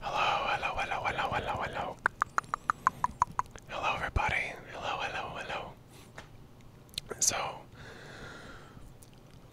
Hello, hello, hello, hello, hello, hello. Hello, everybody. Hello, hello, hello. So,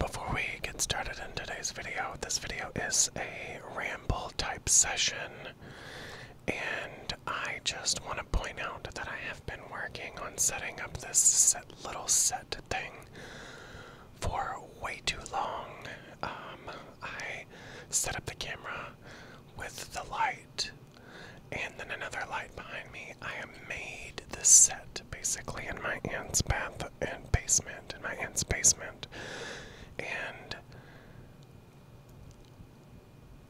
before we get started in today's video, this video is a ramble type session, and I just want to point out that I have been working on setting up this little set thing for way too long. Um, I set up the camera with the light and then another light behind me. I made the set basically in my aunt's bath and basement, in my aunt's basement. And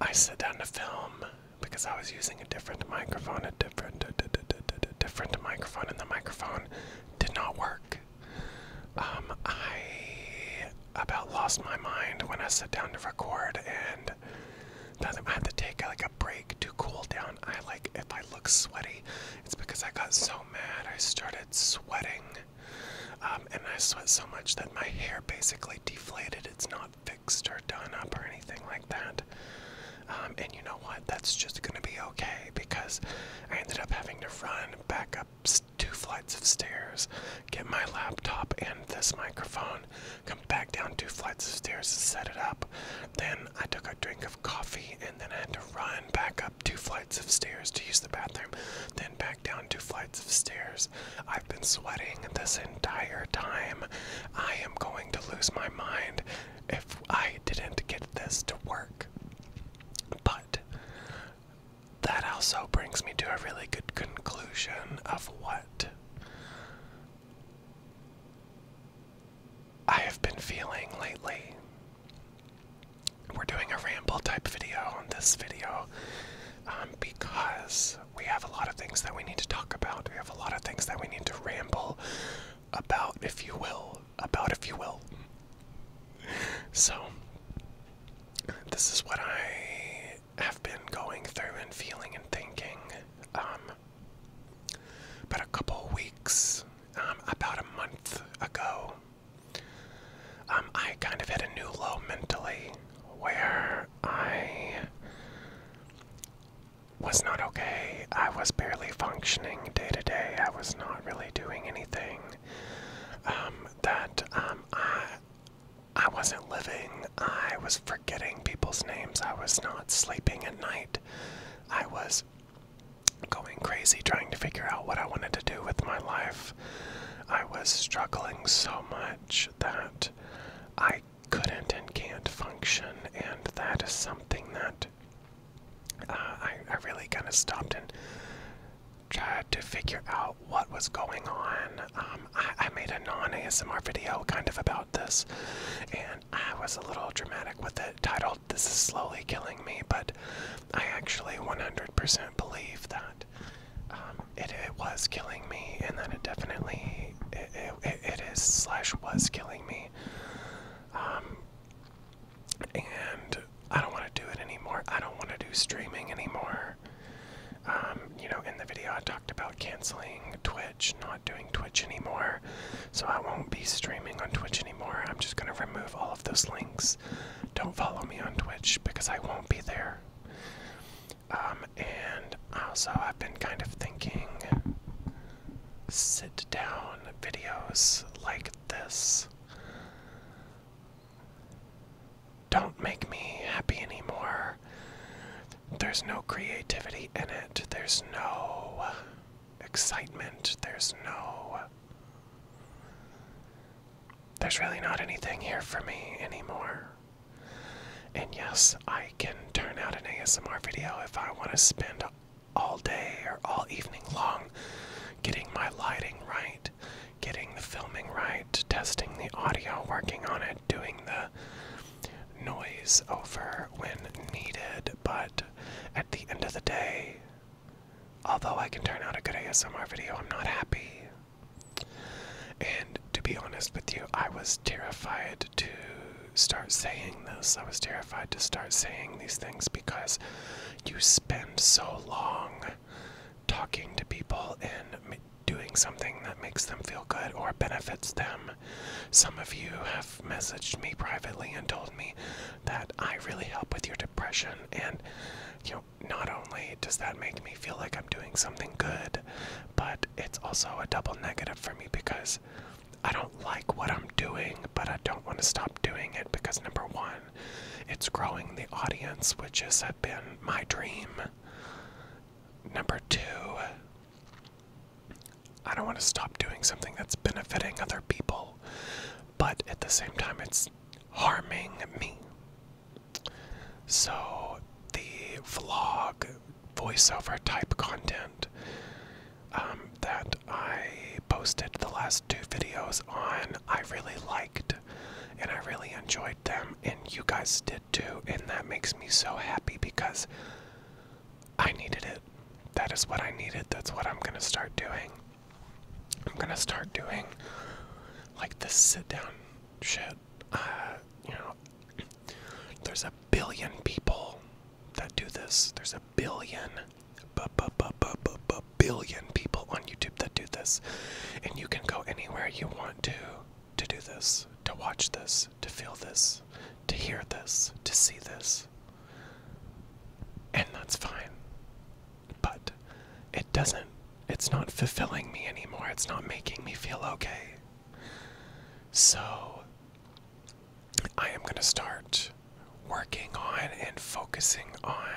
I sat down to film because I was using a different microphone, a different, a different microphone, and the microphone did not work. Um, I about lost my mind when I sat down to record, and I had to take like a break to cool down, I like if I look sweaty, it's because I got so mad I started sweating, um, and I sweat so much that my hair basically deflated. It's not fixed or done up or anything like that. Um, and you know what? That's just gonna be okay because I ended up having to run back up two flights of stairs, get my laptop and this microphone, come back down two flights of stairs to set it up. Then I took a drink of coffee and then I had to run back up two flights of stairs to use the bathroom, then back down two flights of stairs. I've been sweating this entire time. I am going to lose my mind if I didn't get this to work. But that also brings me to a really good conclusion of what I have been feeling lately. We're doing a ramble type video on this video um, because we have a lot of things that we need to talk about. We have a lot of things that we need to ramble about, if you will, about, if you will. So, this is what I have been going through and feeling and thinking. Um, but a couple weeks, um, about a month ago, um, I kind of hit a new low mentally where I was not okay. I was barely functioning day to day. I was not really doing anything um, that um, I wasn't living. I was forgetting people's names. I was not sleeping at night. I was going crazy trying to figure out what I wanted to do with my life. I was struggling so much that I couldn't and can't function, and that is something that uh, I, I really kind of stopped and tried to figure out what was going on. Um, I, I made a non ASMR video kind of about this, and I was a little dramatic with it, titled This is Slowly Killing Me, but I actually 100% believe that. Um, it, was killing me, and then it definitely it, it is slash was killing me. Um, and I don't want to do it anymore. I don't want to do streaming anymore. Um, you know, in the video I talked about canceling Twitch, not doing Twitch anymore. So I won't be streaming on Twitch anymore. I'm just going to remove all of those links. Don't follow me on Twitch because I won't be there. Um, and also I've been kind of thinking sit down videos like this. Don't make me happy anymore. There's no creativity in it. There's no excitement. There's no. There's really not anything here for me anymore. And yes, I can turn out an ASMR video if I want to spend all day or all evening long getting my lighting right, getting the filming right, testing the audio, working on it, doing the noise over when needed. But at the end of the day, although I can turn out a good ASMR video, I'm not happy. And to be honest with you, I was terrified to start saying this. I was terrified to start saying these things because you spend so long talking to people and doing something that makes them feel good or benefits them. Some of you have messaged me privately and told me that I really help with your depression and you know not only does that make me feel like I'm doing something good, but it's also a double negative for me because I don't like what I'm doing, but I don't want to stop doing it because number one, it's growing the audience, which has been my dream. Number two, I don't want to stop doing something that's benefiting other people, but at the same time, it's harming me. So the vlog voiceover type content um, that I posted the last two videos on. I really liked and I really enjoyed them, and you guys did too, and that makes me so happy because I needed it. That is what I needed. That's what I'm gonna start doing. I'm gonna start doing like this sit down shit. Uh, you know, there's a billion people that do this. There's a billion, b -b -b -b -b billion people on YouTube that do this, and you can go anywhere you want to to do this, to watch this, to feel this, to hear this, to see this, and that's fine. But it doesn't. It's not fulfilling me anymore. It's not making me feel okay. So, I am going to start working on and focusing on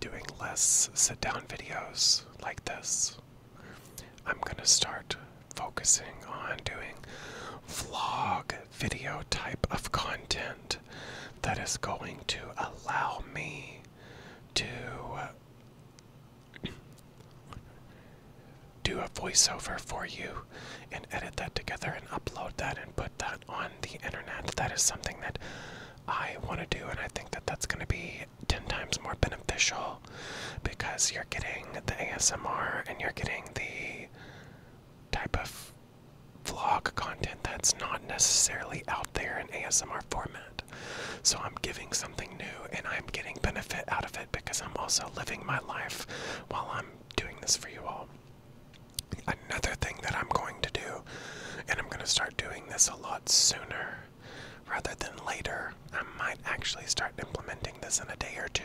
doing less sit down videos like this. I'm going to start focusing on doing vlog video type of content that is going to allow me to do a voiceover for you and edit that together and upload that and put that on the internet. That is something that I want to do, and I think that that's going to be 10 times more beneficial because you're getting the ASMR and you're getting the type of vlog content that's not necessarily out there in ASMR format. So I'm giving something new and I'm getting benefit out of it because I'm also living my life while I'm doing this for you all. Another thing that I'm going to do, and I'm going to start doing this a lot sooner rather than later, I might actually start implementing this in a day or two.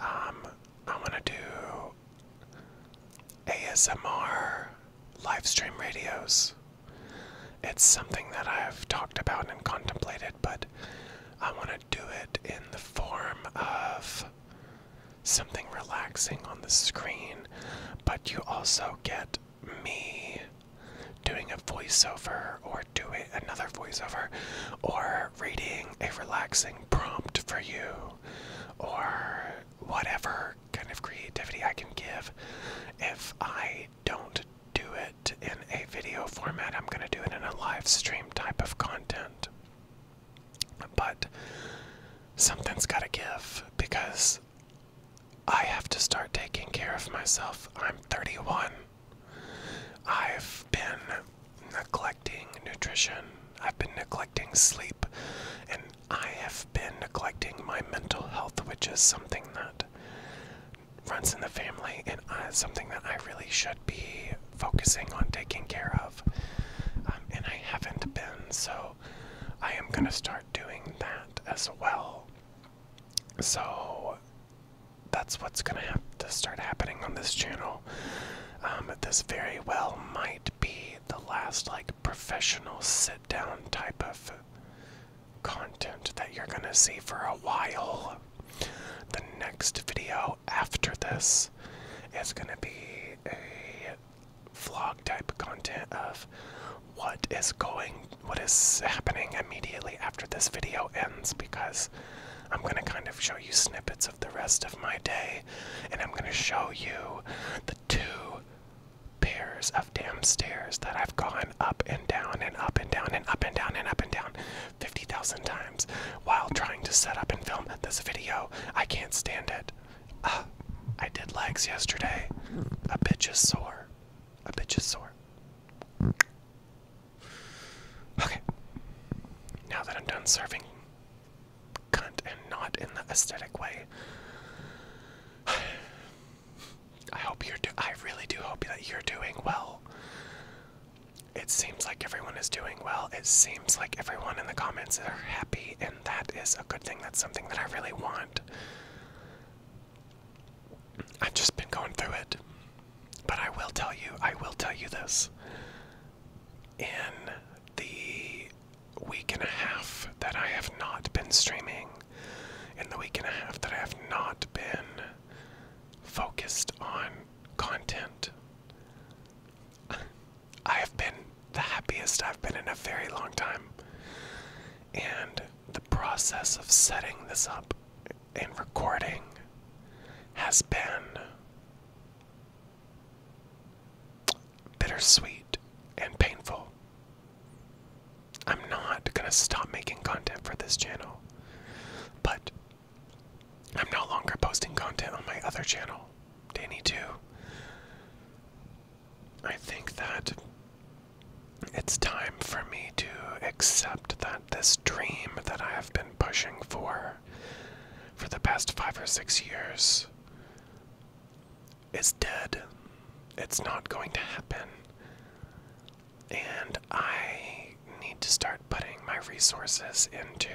Um, i I'm going to do ASMR live stream radios it's something that I've talked about and contemplated, but I want to do it in the form of something relaxing on the screen, but you also get me doing a voiceover or doing another voiceover or reading a relaxing prompt for you or whatever kind of creativity I can give if I don't do it in a video format. I'm going to do it in a live stream type of content. But something's got to give because I have to start taking care of myself. I'm 31. I've been neglecting nutrition, I've been neglecting sleep, and I have been neglecting my mental health, which is something that runs in the family and something that I really should be focusing on taking care of. Um, and I haven't been, so I am going to start doing that as well. So that's what's going to have to start happening on this channel. Um, this very well might be the last, like, professional sit down type of content that you're going to see for a while. The next video after this is going to be a vlog type content of what is going what is happening immediately after this video ends because I'm going to kind of show you snippets of the rest of my day and I'm going to show you the two pairs of damn stairs that I've gone up and down and up and down and up and down and up and down 50,000 times while trying to set up and film this video. I can't stand it. Uh, I did legs yesterday. A bitch is sore. A bitch is sore. Okay. Now that I'm done serving cunt and not in the aesthetic way, I hope you're I really do hope that you're doing well. It seems like everyone is doing well. It seems like everyone in the comments are happy, and that is a good thing. That's something that I really want. I've just been going through it. But I will tell you, I will tell you this. In the week and a half that I have not been streaming, in the week and a half that I have not been focused on content. I have been the happiest I've been in a very long time. And the process of setting this up and recording has been bittersweet and painful. I'm not gonna stop making content for this channel, but I'm no longer posting content on my other channel, Danny Two. I think that it's time for me to accept that this dream that I have been pushing for for the past five or six years is dead. It's not going to happen. And I need to start putting my resources into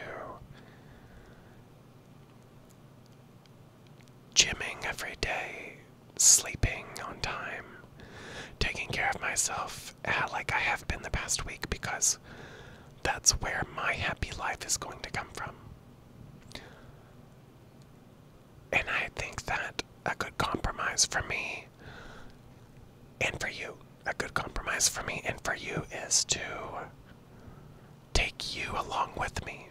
gymming every day, sleeping on time, taking care of myself uh, like I have been the past week because that's where my happy life is going to come from. And I think that a good compromise for me and for you, a good compromise for me and for you is to take you along with me.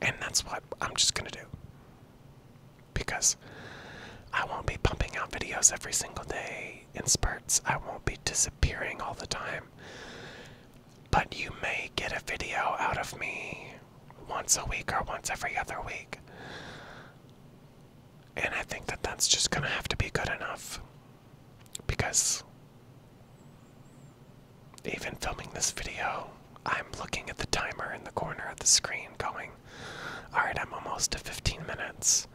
And that's what I'm just going to do. Because I won't be pumping out videos every single day in spurts, I won't be disappearing all the time. But you may get a video out of me once a week or once every other week. And I think that that's just gonna have to be good enough. Because even filming this video, I'm looking at the timer in the corner of the screen going, Alright, I'm almost to 15 minutes.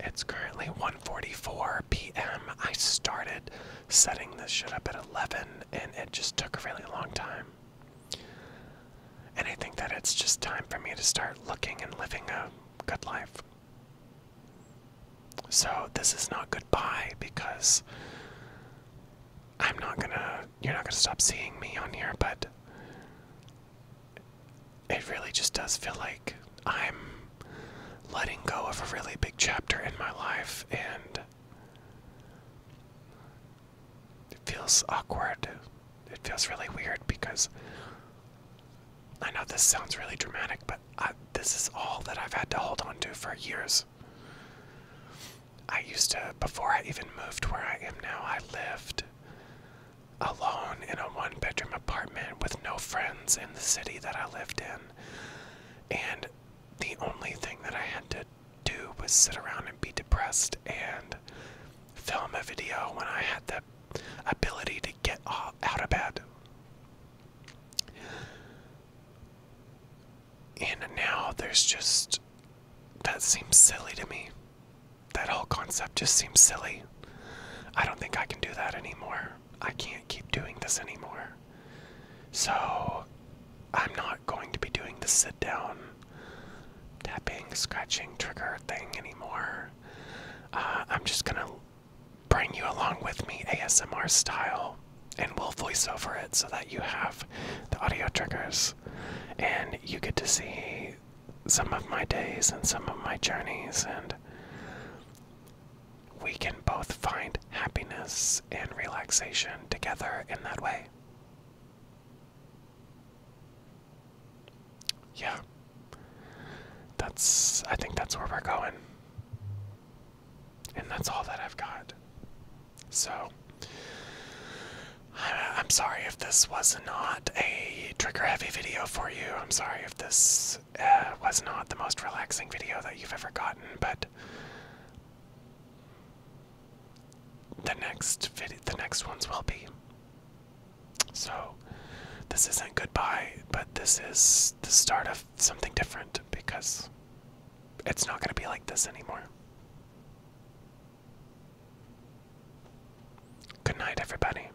It's currently 1:44 p.m. I started setting this shit up at 11, and it just took a really long time. And I think that it's just time for me to start looking and living a good life. So this is not goodbye because I'm not gonna, you're not gonna stop seeing me on here, but it really just does feel like I'm letting go of a really big chapter in my life and it feels awkward. It feels really weird because I know this sounds really dramatic, but this is all that I've had to hold on to for years. I used to, before I even moved where I am now, I lived alone in a one bedroom apartment with no friends in the city that I lived in. And the only thing that I had to do was sit around and be depressed and film a video when I had the ability to get out of bed. And now there's just. That seems silly to me. That whole concept just seems silly. I don't think I can do that anymore. I can't keep doing this anymore. So I'm not going to be doing the sit down tapping, scratching, trigger thing anymore. Uh, I'm just gonna bring you along with me ASMR style and we'll voice over it so that you have the audio triggers and you get to see some of my days and some of my journeys and we can both find happiness and relaxation together in that way. Yeah. That's, I think that's where we're going. And that's all that I've got. So, I'm sorry if this was not a trigger heavy video for you. I'm sorry if this uh, was not the most relaxing video that you've ever gotten, but the next video, the next ones will be. So, this isn't goodbye, but this is the start of something different because it's not going to be like this anymore. Good night, everybody.